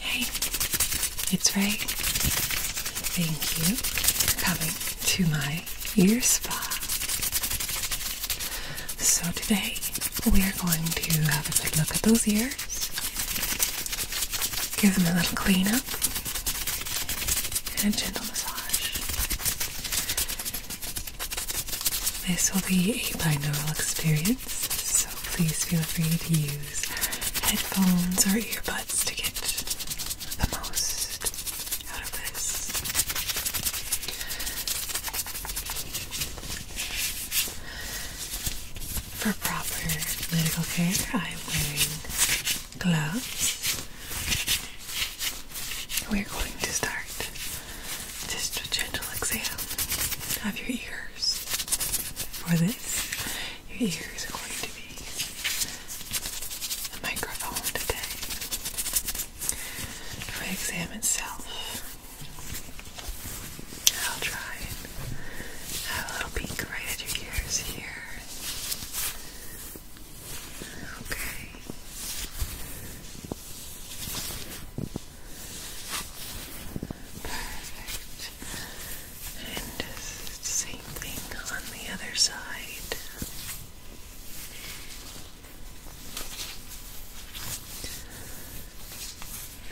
Hey, it's Ray. Thank you for coming to my ear spa. So today we are going to have a good look at those ears, give them a little clean up, and a gentle massage. This will be a binaural experience, so please feel free to use headphones or earbuds to get the most out of this. For proper medical care, I'm wearing gloves, we're going to start just a gentle exhale of your ears. For this, your ears are going to be the microphone today. For exam itself, I'll try and have a little peek right at your ears here. Okay. Perfect. And same thing on the other side.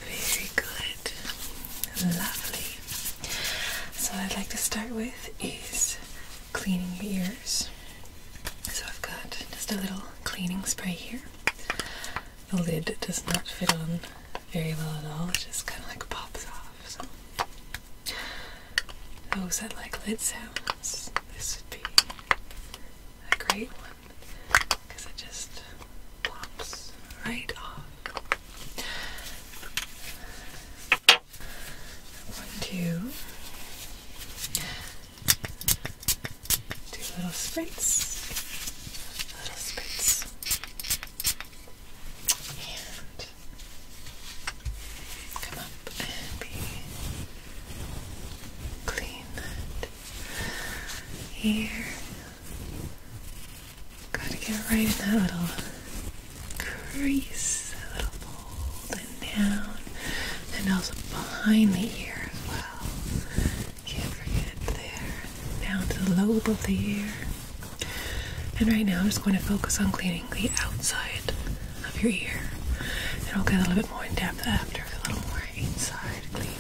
Very good. Lovely. So, I'd like to start with is cleaning your ear so I've got just a little cleaning spray here. The lid does not fit on very well at all, it just kind of like pops off. So. Those that like lid sounds, this would be a great one because it just pops right off want to do little sprints, little sprints, and come up and be clean that Gotta get right in that little crease, that little hole and down, and also behind the ear as well. Can't forget there, down to the lobe of the ear. And right now, I'm just going to focus on cleaning the outside of your ear, and I'll get a little bit more in depth after a little more inside cleaning.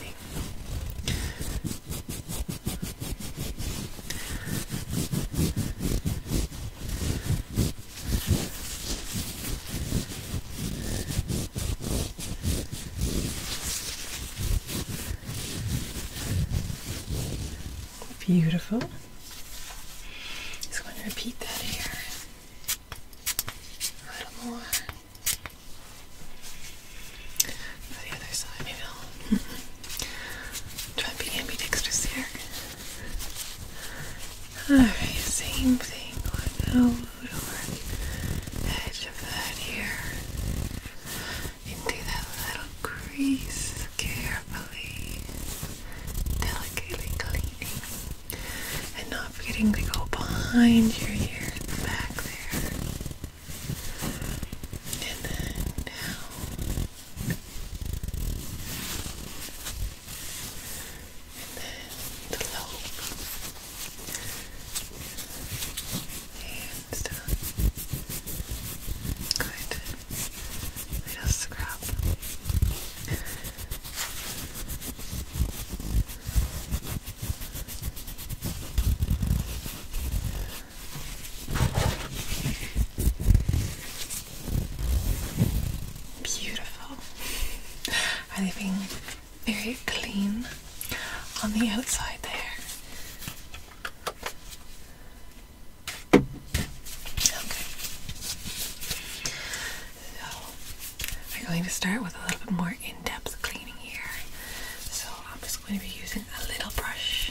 Beautiful. Just going to repeat that here. A little more. For the other side, maybe i to be ambidextrous here. Alright, same thing on the lower edge of that ear. Into that little crease carefully, delicately cleaning, and not forgetting to go behind your ear back there. And then and then the lobe, and uh, good little scrub. Beautiful. Everything very clean on the outside there? Okay. So we're going to start with a little bit more in-depth cleaning here. So I'm just going to be using a little brush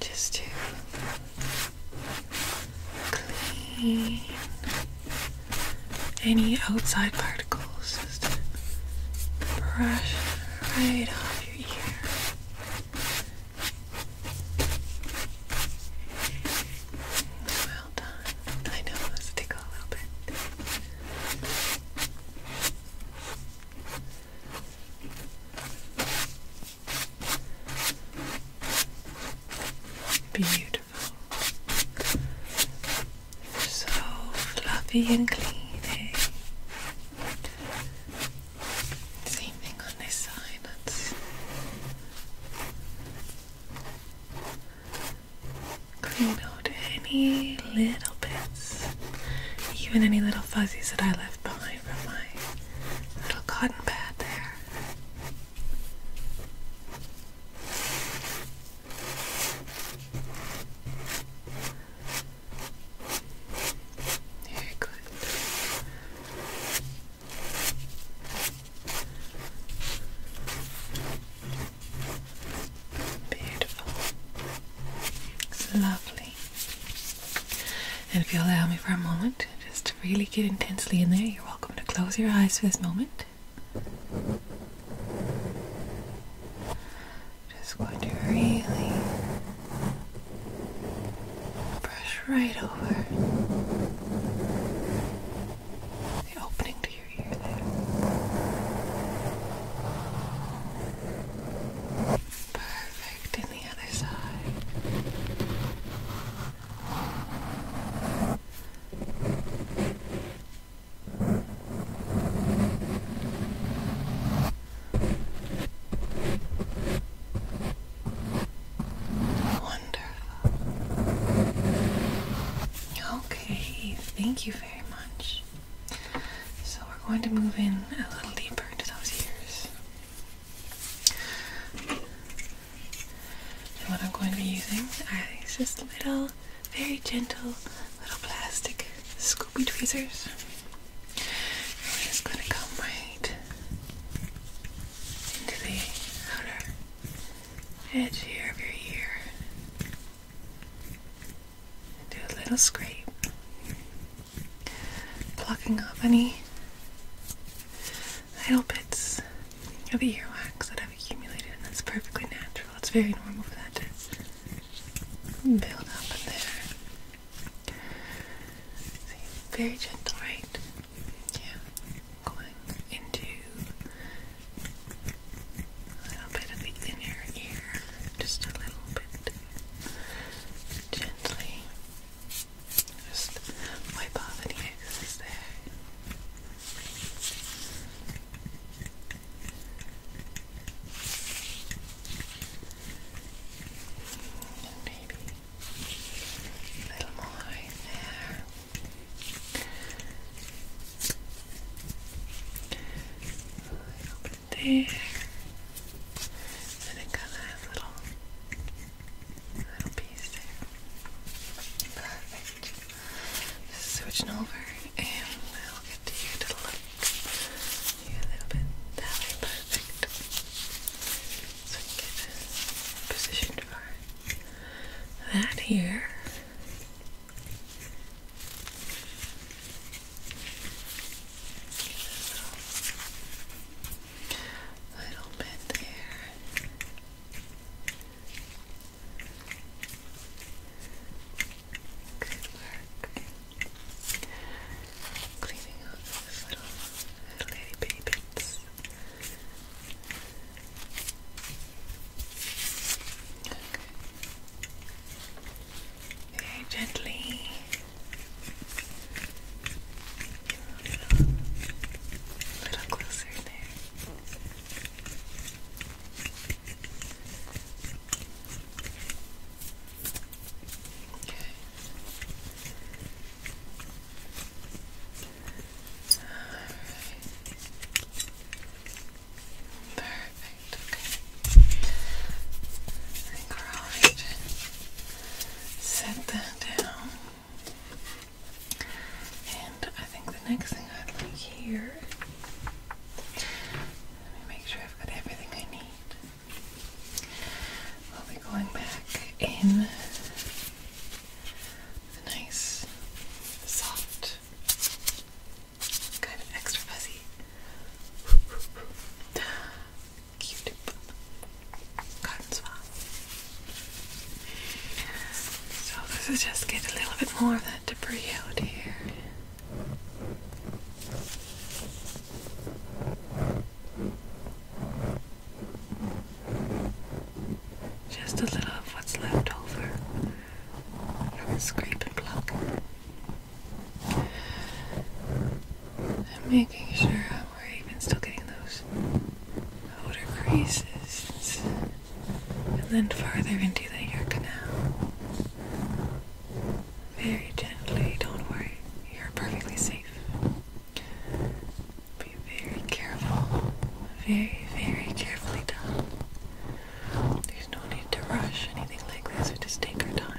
just to clean any outside particles. Just brush right off your ear. Well done. I know this tickle a little bit. Beautiful. So fluffy and clean. Same thing on this side. That's clean out any little bits, even any little fuzzies that I left behind from my little cotton pad there. Very Beautiful. lovely. And if you will allow me for a moment, Perfect. Just really get intensely in there. You're welcome to close your eyes for this moment. Just going to really brush right over the opening to your ear there. Perfect. in the other side. Wonderful. Okay, thank you very much. So we're going to move in a little deeper into those ears. And what I'm going to be using is just little, very gentle little plastic scoopy tweezers. We're just going to come right into the outer edge here of your ear. And do a little scrape, plucking up any little bits of wax that i have accumulated, and that's perfectly natural. It's very normal for that to build up in there. very gentle, right? Yeah, going into a little bit of the inner ear, just a little bit gently. Just wipe off any excess there. And maybe a little more right there. A there. And it kind of has little little piece there. Perfect. Just switching over and I'll get you to look a little bit that way. Perfect. So we get positioned for that here. little bit there. Good work. Cleaning up those little, little bits. Very gently. A little closer there. Okay. Perfect. Okay. I think we're all right. Set that down. And I think the next thing I'd like here. Let me make sure I've got everything I need. We'll be going back in a nice, soft, kind of extra fuzzy q So this is just get a little bit more of that debris out here. Just a little of what's left over from the I'm making sure we're even still getting those outer creases and then farther into the ear canal. Very gently, don't worry, you're perfectly safe. Be very careful, very, very carefully done. There's no need to rush anything like this, we just take our time.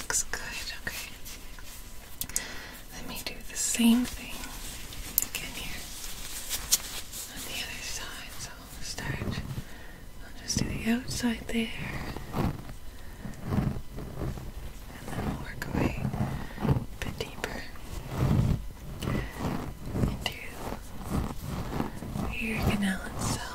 Looks good, okay. Let me do the same thing again here on the other side. So I'll start, I'll just do the outside there, and then we'll work away a bit deeper into ear canal itself.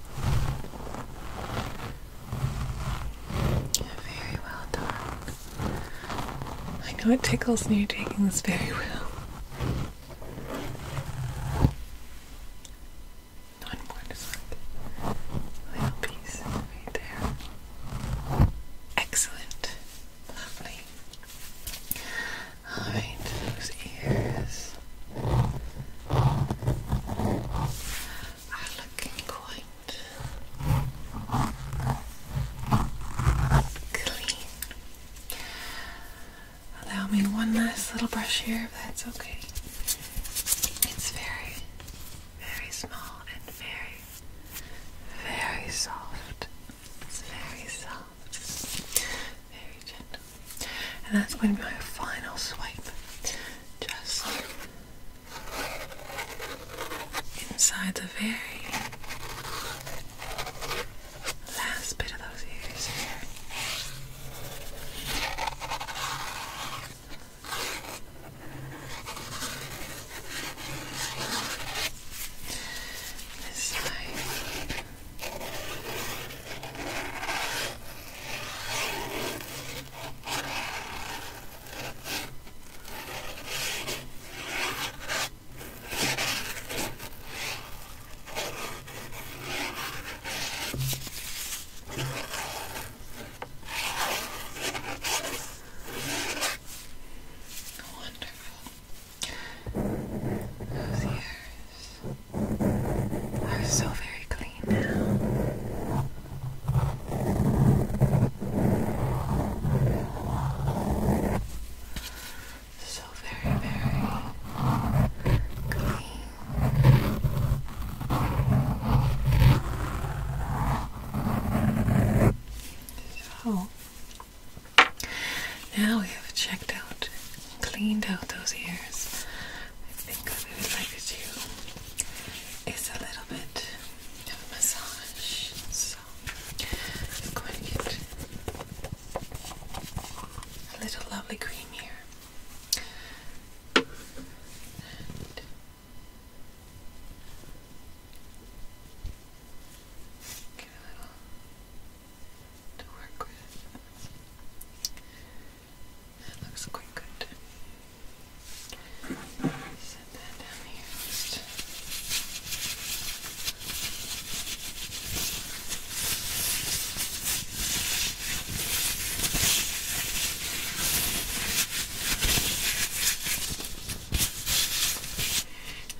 Very well done. I know it tickles and you're taking this very well. One more just like little piece right there. Excellent. Lovely. Alright, those ears are looking quite clean. Allow me one last little brush here if that's okay. It's very, very small and very, very soft. It's very soft very gently. And that's going to be my final swipe. Just inside the very last bit of those ears here. This side. Wonderful. Those ears are so very clean now. So very, very clean. So oh. now we have checked out cleaned out those ears, I think we would like to do a little bit of a massage. So I'm going to get a little lovely cream here. And Get a little to work with. That looks quite good. Set that down here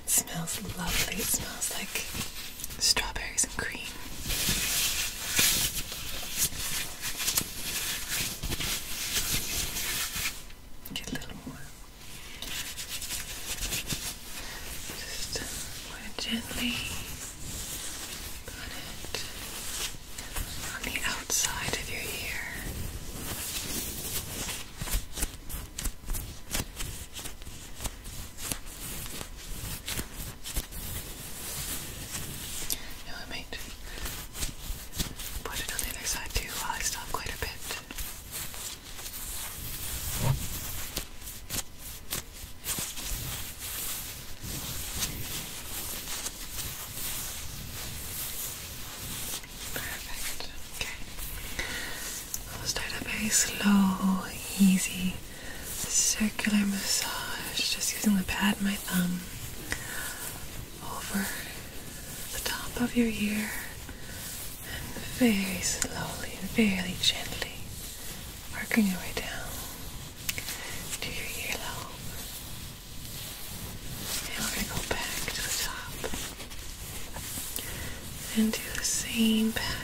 It smells lovely. It smells like strawberries and cream. Get a little more. Just gently put it on the outside of your ear. I might put it on the other side too while I stop quite a bit. Perfect. Okay. start up very slow, easy circular massage, just using the pad of my thumb over the top of your ear and very slowly and very gently working your way down to your earlobe. And we're going to go back to the top and do the same pattern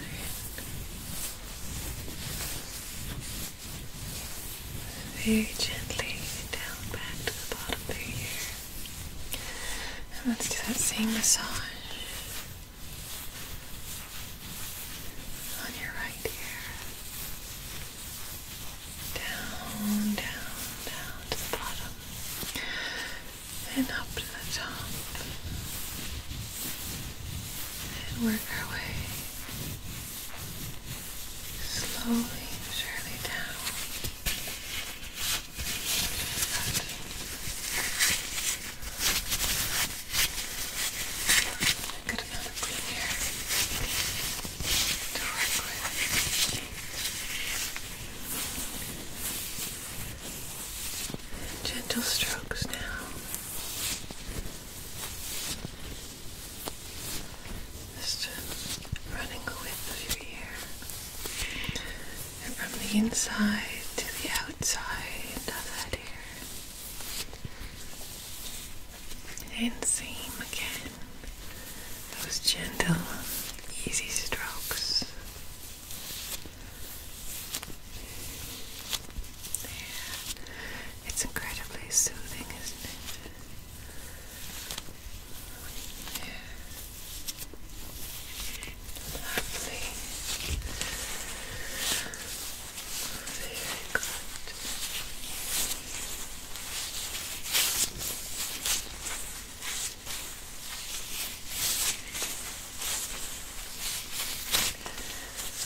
very gently down back to the bottom of your ear. And let's do that same massage on your right ear. Down, down, down to the bottom. And up to the top. And work our way slowly surely down. Good. Good amount here Gentle strokes now. Just running the width of your ear. And from the inside to the outside of that ear. And same again. Those gentle, easy strokes. It's incredibly soothing, isn't it? Lovely. Very good.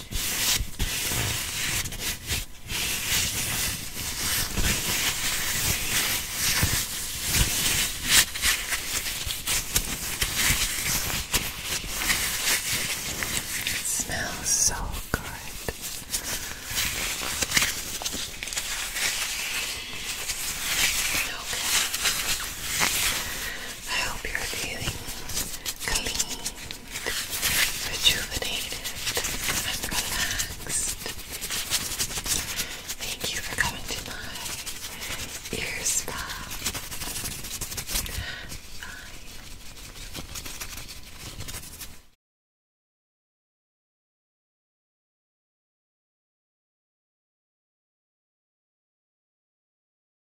It smells so good. Okay. I hope you're feeling clean, rejuvenated, and relaxed. Thank you for coming to my ear spa. Bye.